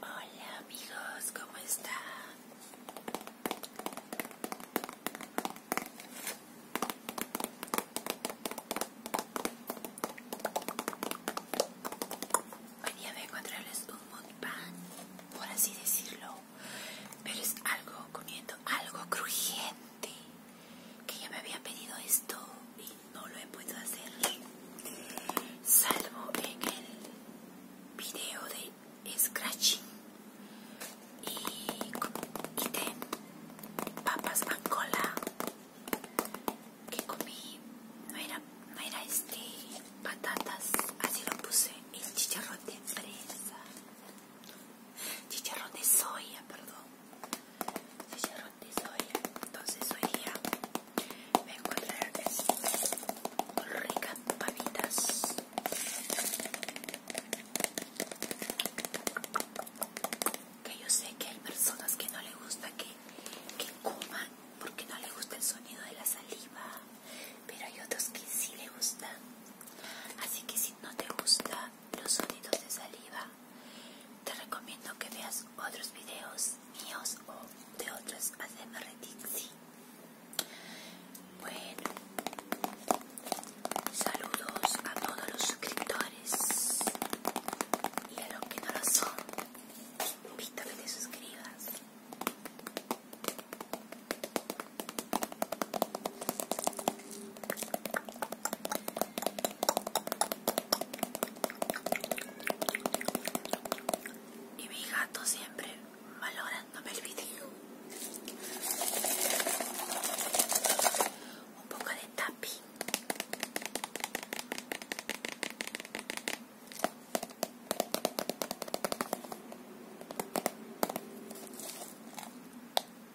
Hola amigos, ¿cómo están? Hoy día voy a encontrarles un pan, por así decirlo, pero es algo comiendo algo crujiente que ya me había pedido esto y no lo he podido hacer salvo en el video de scratching y de papas cola que comí no era, no era este patatas así lo puse el chicharrón de fresa chicharrón de soya, perdón, chicharrón de soya. Entonces hoy día me encontré eso. ricas papitas. Que yo sé que hay personas que no les gusta que, que coman porque no les gusta el sonido de la saliva, pero hay otros que sí les gusta. Así que si no te gusta, los sonidos de saliva. Te recomiendo que veas otros videos míos o de otros hacemos Bueno, saludos a todos los suscriptores y a los que no lo son. invito a que te suscribas. Y mi gato siempre valorándome el video. Un poco de tapi.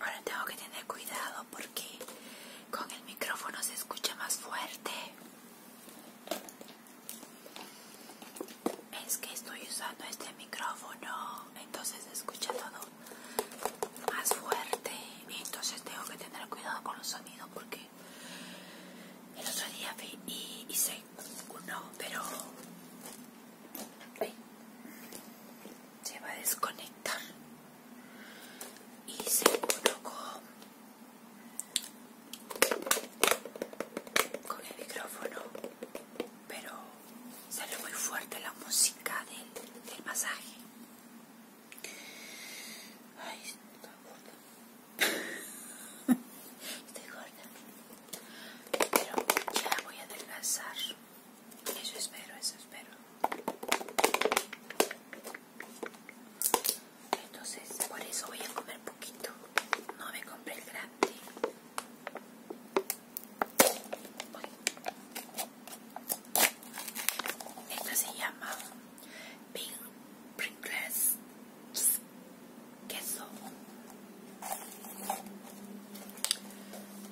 Ahora tengo que tener cuidado porque con el micrófono se escucha más fuerte. Es que estoy usando este micrófono, entonces se escucha todo más fuerte. Y entonces tengo que tener cuidado con los sonidos porque el otro día vi y hice uno, pero se va a desconectar. Hice uno con, con el micrófono, pero sale muy fuerte la música del, del masaje. Ay, está Estoy gorda. Pero ya voy a adelgazar. Eso espero, eso espero. Entonces, por eso voy a comer poquito. No me compré el grande. Esto Esta se llama Big princess queso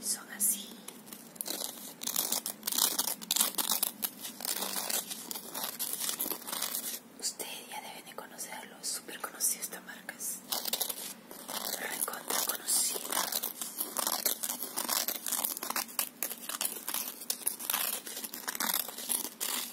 son así Usted ya debe de conocerlo, súper conocido esta marcas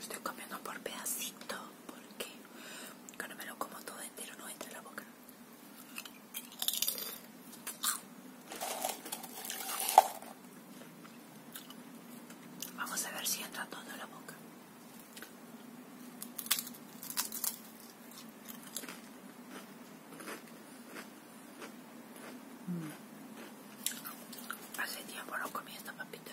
Estoy comiendo por pedacito porque cuando me lo como todo entero no entra en la boca. Vamos a ver si entra todo en la boca. Hace tiempo no comí estas papitas.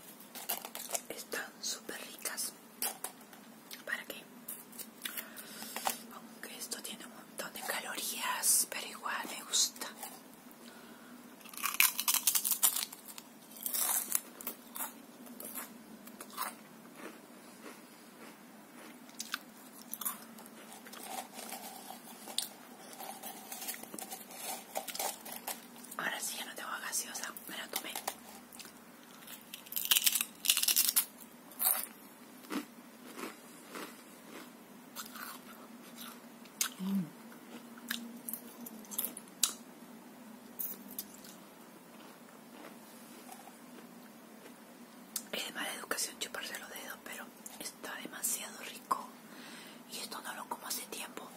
están súper ricas para qué aunque esto tiene un montón de calorías pero igual me gusta Ahora sí ya no tengo gaseosa, me la tomé. Mm. Es de mala educación chuparse los dedos, pero está demasiado rico. Y esto no lo como hace tiempo.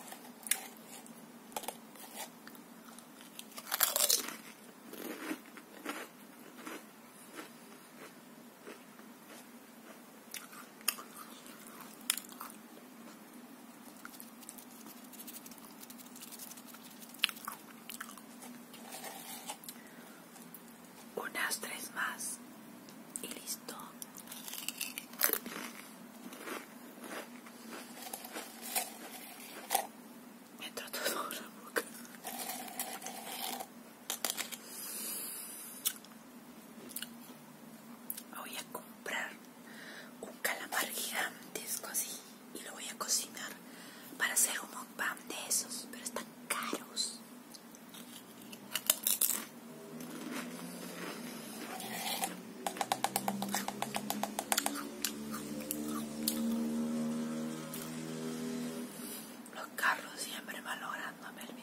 Unas tres más y listo me entró todo la boca voy a comprar un calamar gigantesco así y lo voy a cocinar para hacer un mukbang de esos pero están caros los carros siempre ver el video.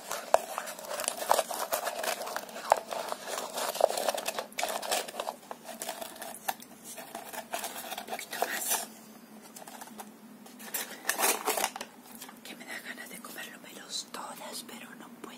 Un poquito más. Que me da ganas de comerlo menos todas, pero no puedo.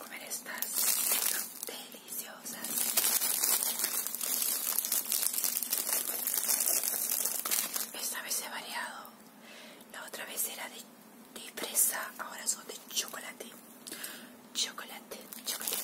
comer estas deliciosas. Esta vez he variado. La otra vez era de, presa. ahora son de chocolate. Chocolate, chocolate.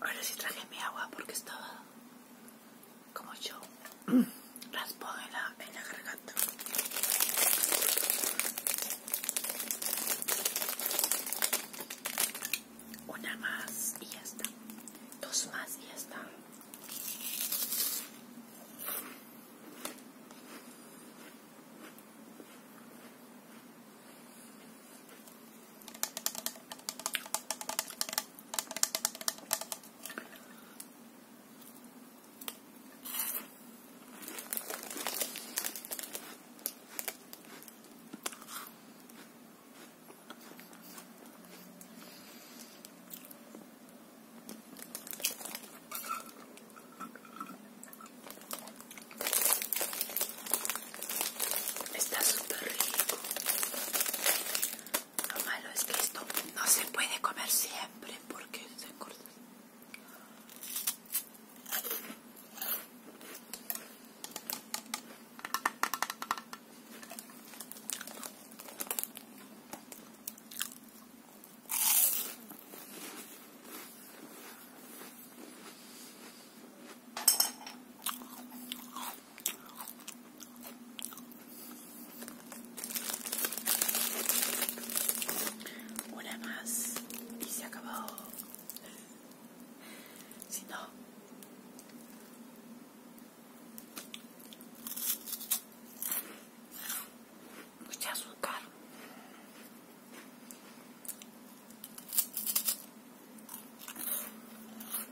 Ahora sí traje mi agua porque estaba como yo Las pone en la garganta una más y ya está dos más y ya está Está súper rico es esto no se puede comer siempre porque se corta. Una más y se acabó. Si no, mucha pues azúcar.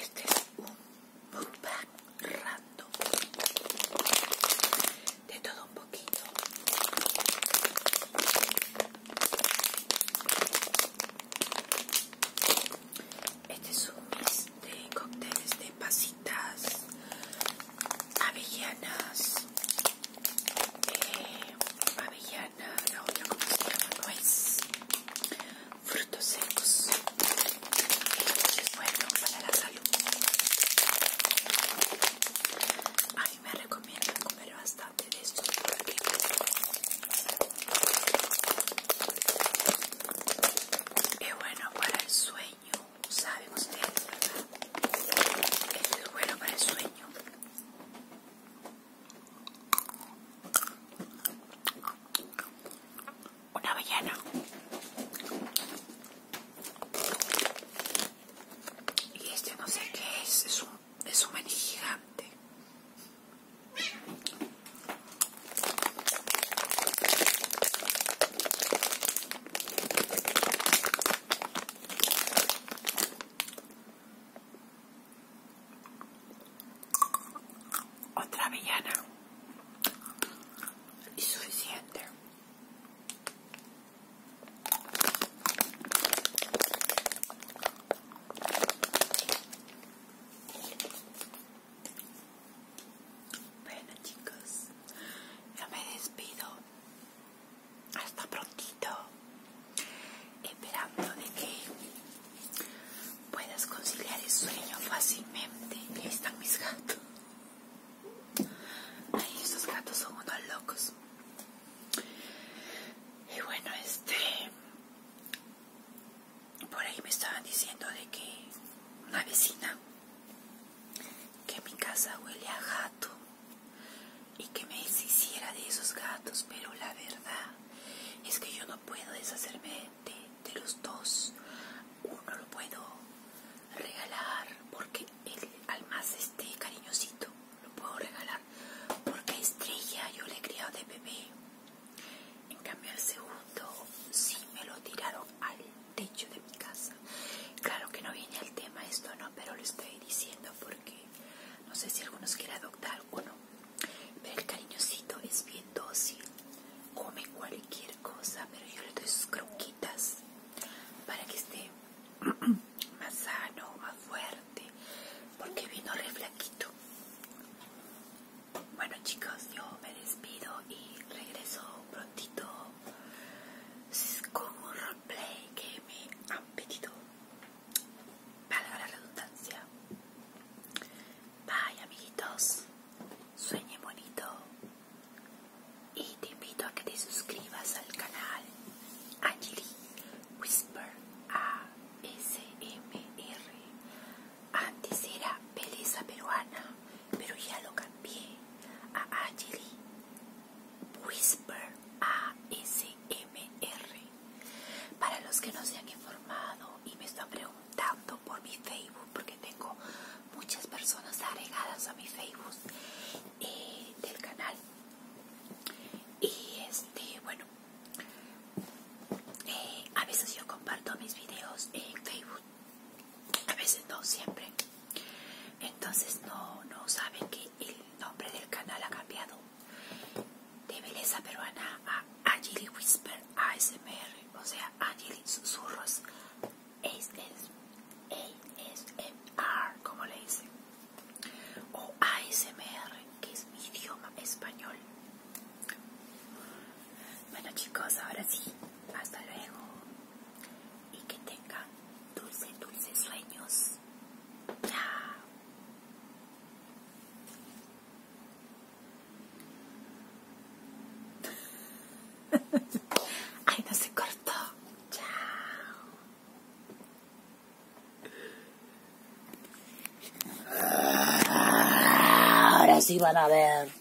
este es un mukbang random. De todo un poquito. Este es un mix de cócteles de pasitas, avellanas, eh, avellana, la otra como se llama, nuez, frutos secos. es bueno para la salud. A mí me recomiendan comer bastante de estos Y es bueno para el sueño saben ustedes, ¿verdad? Esto es bueno para el sueño. Una ballena. Y este no sé qué es, es un, es un maní gigante. Otra villana y suficiente. Bueno chicos, ya me despido hasta prontito esperando de que puedas conciliar el sueño fácilmente ahí están mis gatos Ay, esos gatos son unos locos y bueno este por ahí me estaban diciendo de que una vecina que mi casa huele a gato y que me deshiciera de esos gatos, pero la verdad es que yo no puedo deshacerme de, los dos. Uno lo puedo regalar porque el al más este cariñosito lo puedo regalar porque estrella yo le he criado de bebé. En cambio el segundo sí me lo tiraron al techo de mi casa. Claro que no viene al tema esto, no, pero lo estoy diciendo porque no sé si algunos quieren adoptar o no. Pero el cariñosito es bien dócil, come cualquier cosa, pero yo le doy sus croquitas para que esté más sano, más fuerte, porque vino re flaquito. Bueno chicos, yo me despido y regreso prontito es como un roleplay que me han pedido valga la redundancia bye amiguitos sueñe bonito y te invito a que te suscribas al canal Angelie Whisper A S R antes era belleza peruana pero ya lo cambié a Angelie Whisper A-S-M-R Para los que no se han informado y me están preguntando por mi Facebook, porque tengo muchas personas agregadas a mi Facebook eh, del canal. Y este, bueno, eh, a veces yo comparto mis videos en Facebook a veces no siempre entonces no, no saben que el nombre del canal ha cambiado de belleza peruana a Angeli Whisper ASMR o sea Angeli Susurros ASMR como le dicen o ASMR que es mi idioma español bueno chicos ahora sí hasta luego y que tenga dulce, dulce sueños. Chao. Ay, no se cortó. Chao. Ahora sí van a ver.